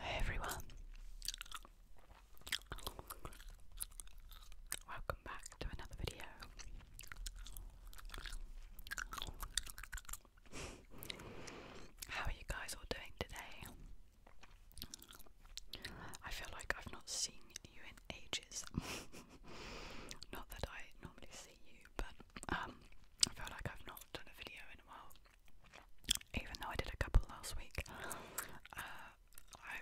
Hey everyone, welcome back to another video. How are you guys all doing today? I feel like I've not seen you in ages. not that I normally see you, but um, I feel like I've not done a video in a while, even though I did a couple last week. Uh, I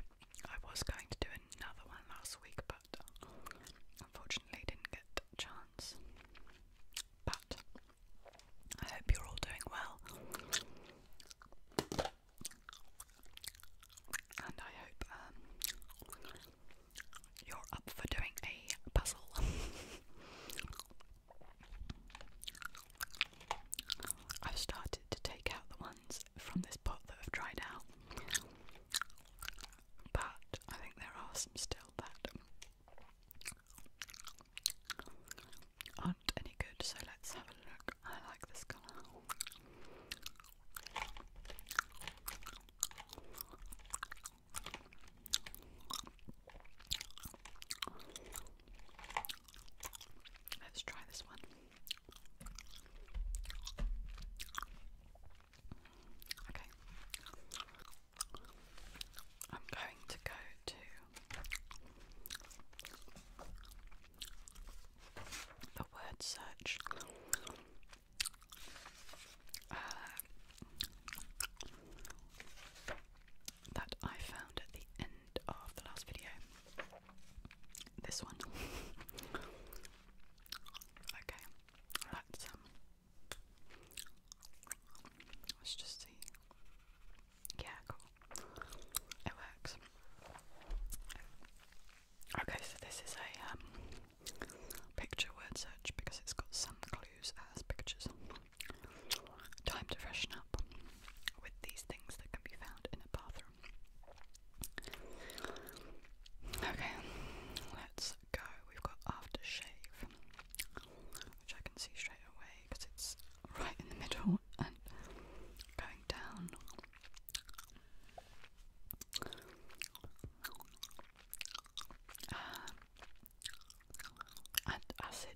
I was going to do another one last week, but unfortunately didn't get chance. But I hope you're all doing well, and I hope um, you're up for doing a puzzle. I've started to take out the ones from this pot that have dried out, but I think there are some still that aren't any good, so let's have a look. I like this colour. Let's try this one. Okay. I'm going to go to the word search uh, that I found at the end of the last video. This one. okay, let um, let's just see. Yeah, cool. It works. Okay, so this is a um, Picture word search because it's got some clues as pictures. Time to freshen up with these things that can be found in a bathroom. Okay, let's go. We've got aftershave, which I can see straight away because it's right in the middle and going down. Uh, and acid.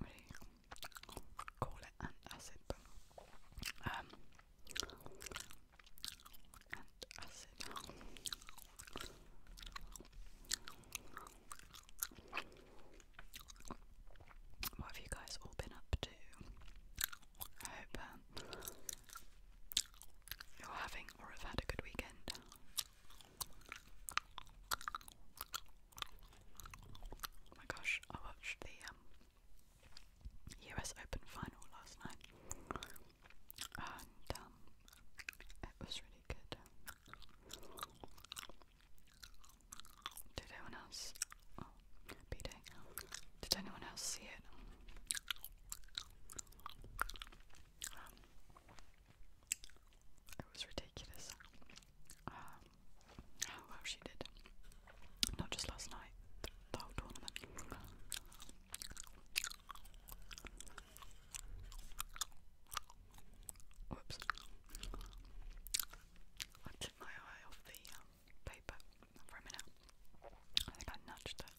really call it acid, um, and acid. What have you guys all been up to? I hope um, you're having or have had a good weekend. Oh my gosh, I watched the US um, Open final last night and um, it was really good. Did anyone else? Oh, Did anyone else see it? it was ridiculous. Um, how well she did. Not just last night, the whole tournament. Whoops. I took my eye off the um, paper for a minute. I think I nudged it.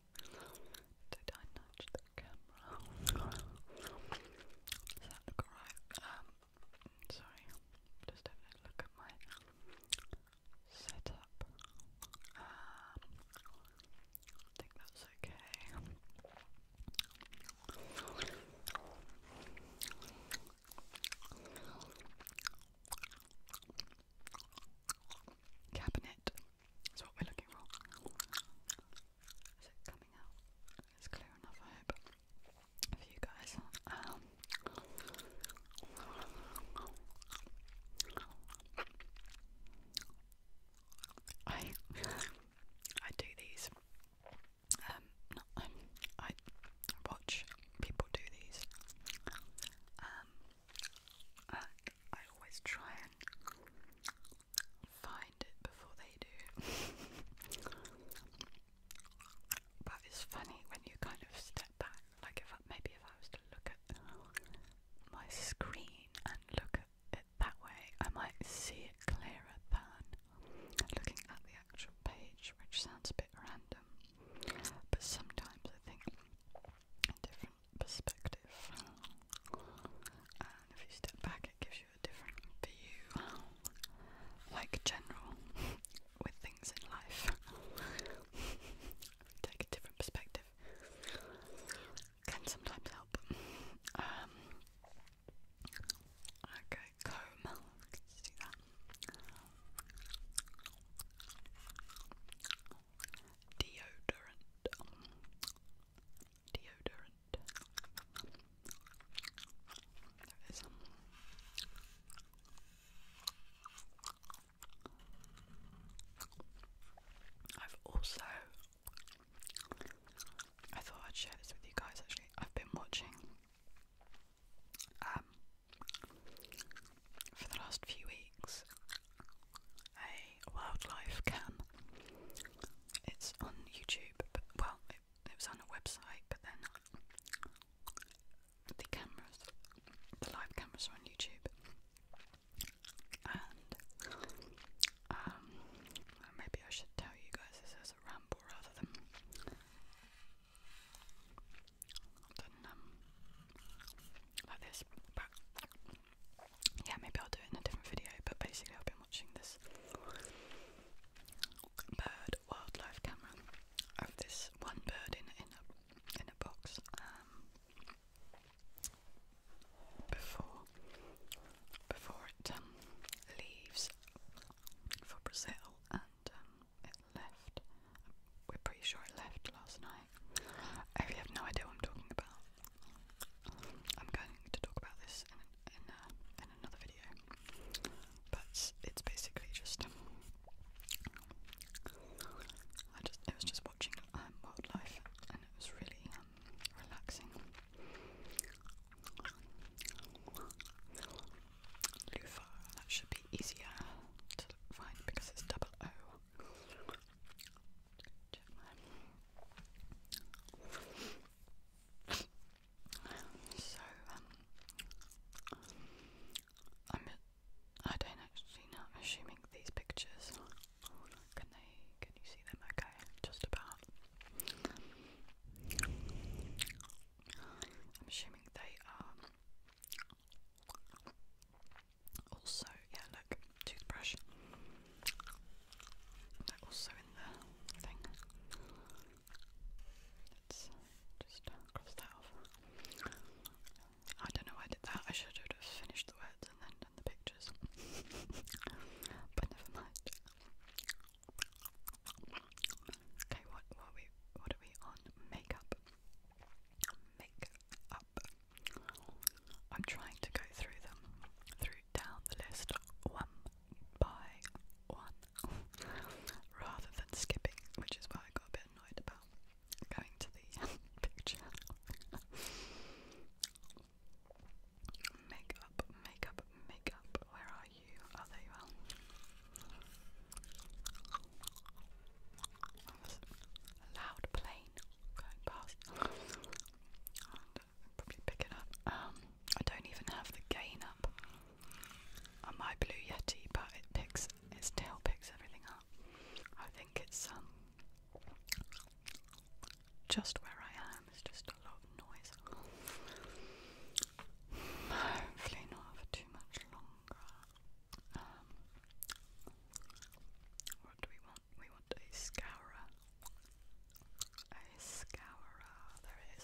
Did I nudge the camera? Does that look alright? Um, sorry. Just having a look at my setup. Um, I think that's okay. Cabinet is what we're looking for. Is it coming out? It's clear enough, I hope, for you guys. Um, I I do these um, um, not, um, I watch people do these, um, I always try and find it before they do. but it's funny when you kind of step back, like if maybe if I was to look at my screen and look at it that way, I might see it clearer than looking at the actual page, which sounds a bit random. But sometimes I think a different perspective, and if you step back, it gives you a different view, like general with things in life. Take a different perspective can sometimes help. Um, okay. Deodorant. Deodorant. is. Um, I've also I thought I'd share this with you guys actually. I've been watching um, for the last few weeks, a wildlife cam. It's on YouTube, but well, it, was on a website, but then the cameras, the live cameras, are on YouTube, and um, maybe I should tell you guys this as a ramble rather than um, yeah, maybe I'll do it in a different video. But basically, I've been watching this bird wildlife camera of oh, this one bird in in a in a box um, before before it um, leaves for Brazil it left. We're pretty sure it left last night. I really have no idea what I'm talking about. I'm going to talk about this in in, uh, another video, but it's basically just I just it was just watching um, wildlife and it was really um, relaxing loofah. That should be easier to find because it's double O. So, um, I'm, I do not actually know, assuming these pictures, can they, can you see them okay, just about, I'm assuming they are. Also, yeah, look, toothbrush. They're also in the thing. Let's just cross that off. I don't know why I did that. I should have finished the words and then done the pictures. but never mind. Okay, what what we what are we on? Makeup. Makeup. I'm trying to go through them, through down the list one by one, rather than skipping, which is why I got a bit annoyed about going to the picture. Makeup, makeup, makeup. Where are Oh, a loud plane going past. probably pick it up. Um, I don't even have the gain up on my Blue Yeti, but it picks, its tail picks everything up. I think it's um, just where I am. It's just a lot of noise. Hopefully not too much longer. Um, what do we want? We want a scourer. A scourer, there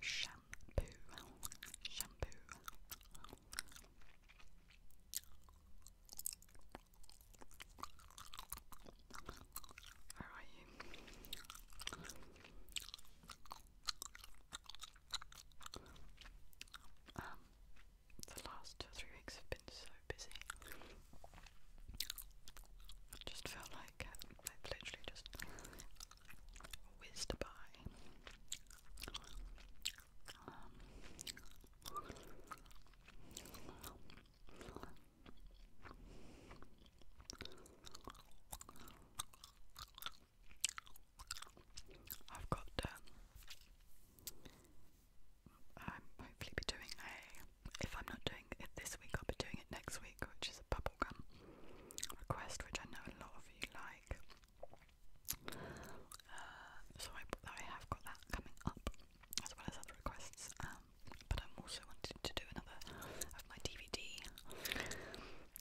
Shampoo, shampoo. How are you? Um, the last two three weeks have been so busy. I just felt like uh, I've literally just whizzed by. Um, I've got um, I'm hopefully be doing a if I'm not doing it this week I'll be doing it next week which is a bubble gum request which I know a lot of you like. Uh, so I, I have got that coming up as well as other requests. Um, but I'm also wanting to do another of my DVD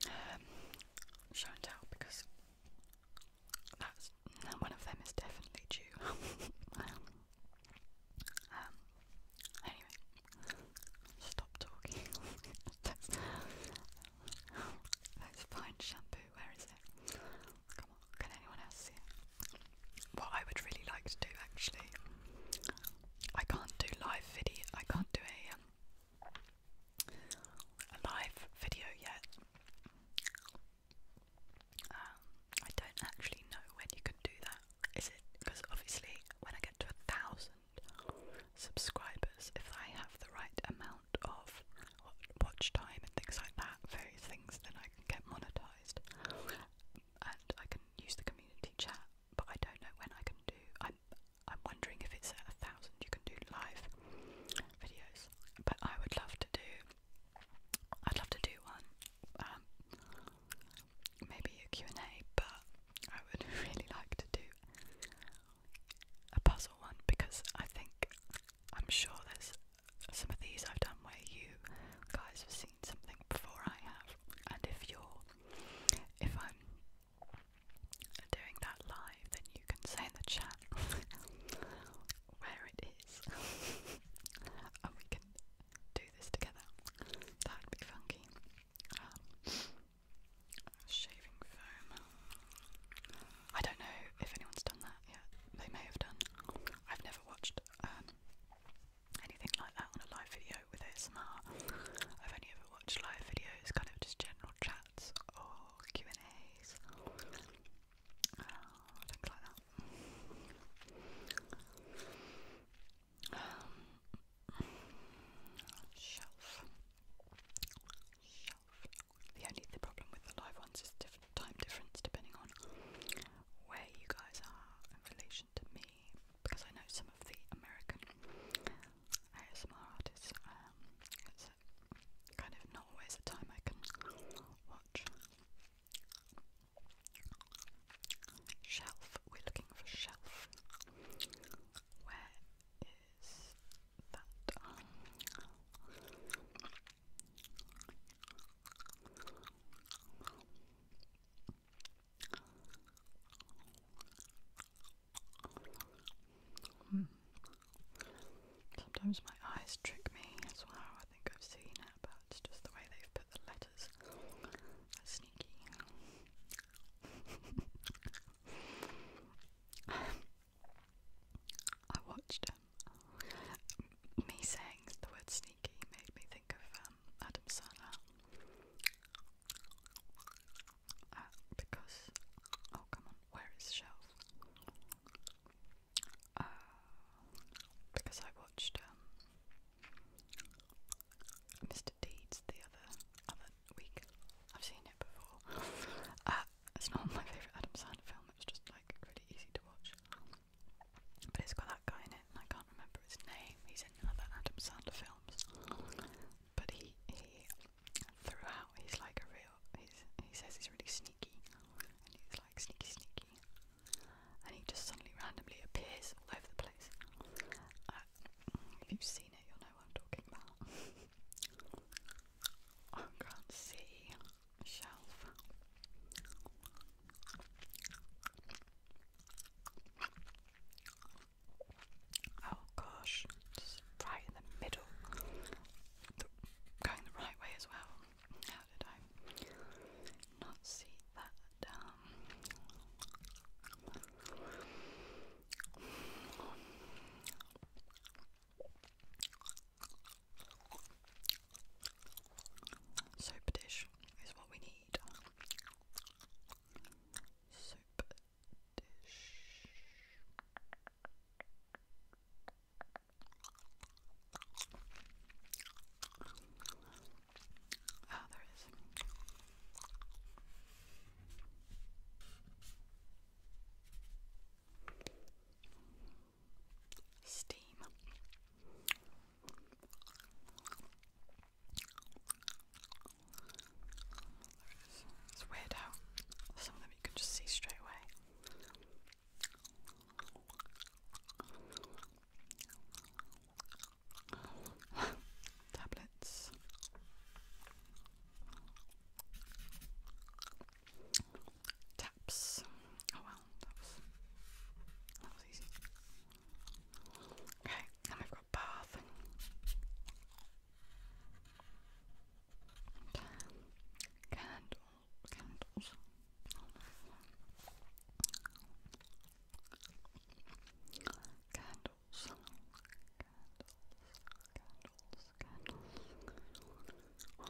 um, show because that's one of them is definitely due. Um, anyway, stop talking. let's, shampoo. Where is it? Can anyone else see What I would really like to do actually, I can't do live video, I can't do a, um, a live video yet. Um, I don't actually know when you can do that. Is it because obviously when I get to a thousand subscribers, if I have the right amount of watch time and things like that, various things, then I can get monetized. And I can use the community chat, but I don't know when I can do. I'm I'm wondering if it's at a thousand you can do live videos, but I would love to do. I'd love to do one, um, maybe a Q and A, but I would really like to do a puzzle one because I think I'm sure there's some of these I've done where you guys have seen something before I have, and if you're, if I'm doing that live, then you can say in the chat where it is, and we can do this together. That'd be funky. Um, shaving foam. I don't know if anyone's done that yet. They may have done. I've never watched um, anything like that on a live video with ASMR. I've only ever watched live videos, kind of just general chats or Q and A's, oh, things like that. Um, shelf, shelf. The only the problem with the live ones is diff time difference depending on where you guys are in relation to me, because I know some of the American ASMR artists. Um, it's kind of not always a time I can watch. Shelf. We're looking for shelf. Where is that? Um, Hmm. Sometimes my eyes trick me as well. I think I've seen it, but it's just the way they've put the letters. sneaky. I watched um, me saying the word sneaky made me think of um, Adam Sandler. Uh, because, oh come on, where is Shelf? Uh, because I watched um, Mr. Deeds the other other week. I've seen it before. uh, it's not my favourite Adam Sandler film. It's just like really easy to watch. Um, but it's got that guy in it, and I can't remember his name. He's in other Adam Sandler films. But he, he throughout, he's like a real. He's, he says he's really sneaky, and he's like sneaky, sneaky. And he just suddenly randomly appears all over the place. Uh, if you've seen it, you'll know what I'm talking about. I can't see shelf. Oh gosh, right in the middle. going the right way as well. How did I not see that? Um, Soap dish is what we need. Soap dish. Ah, oh, steam. It's weird how some of them you can just see straight away. Tablets steps. Oh well, that was, that was easy. Okay, now we've got bath. Candle, candles. Oh Candles. Candles. Candles. Candles. Candles. Oh,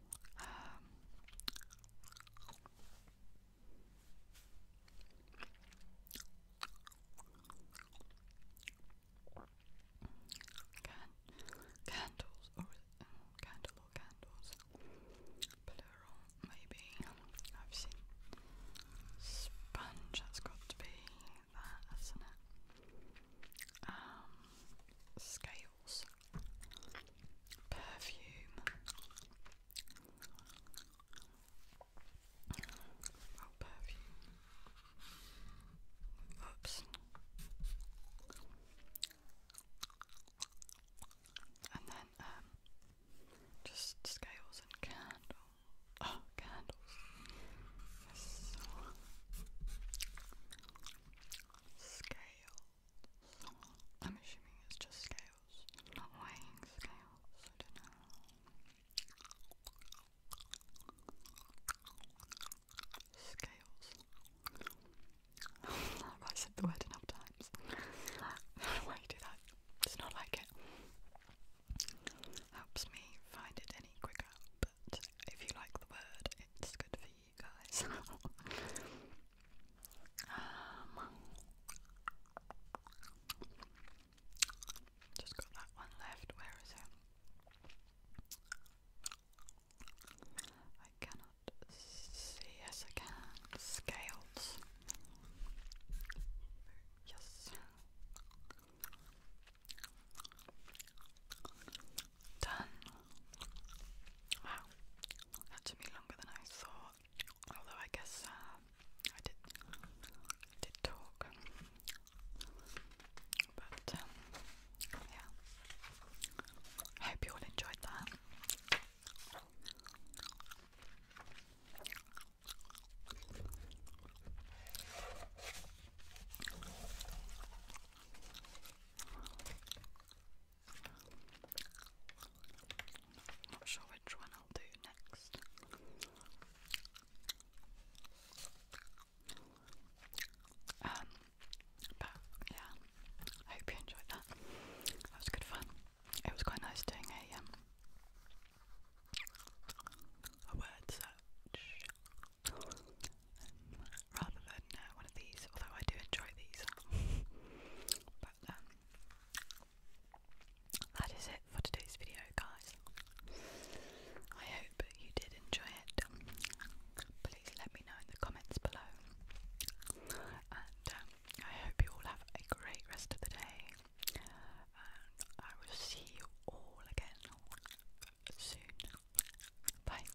Um, can candles or mm, candle or candles, plural maybe. I've seen sponge. That's got to be that, not it? Um, scales perfume. Oh, perfume. Oops. And then, um, just scales and candles. Oh, candles. Yes. I'm assuming it's just scales, not weighing scales. I don't know. Scales. I said the word enough times. Why do that? It's not like it helps me find it any quicker, but if you like the word, it's good for you you guys. Um, just got that one left. Where is it? I cannot see. Yes, I can. Scales. Yes. Done. Wow, that took me longer than I thought. Although I guess uh, I did, did talk, but um, yeah. I hope you all enjoyed that. Not sure which one I'll do next. Um, but yeah, I hope you enjoyed that. That was good fun. It was quite nice doing a um a word search rather than uh, one of these, although I do enjoy these. but um, that is it for today's video, guys. I hope you did enjoy it. Please let me know in the comments below. And um, I hope you all have a great rest of the day. I will see you all again soon. Bye.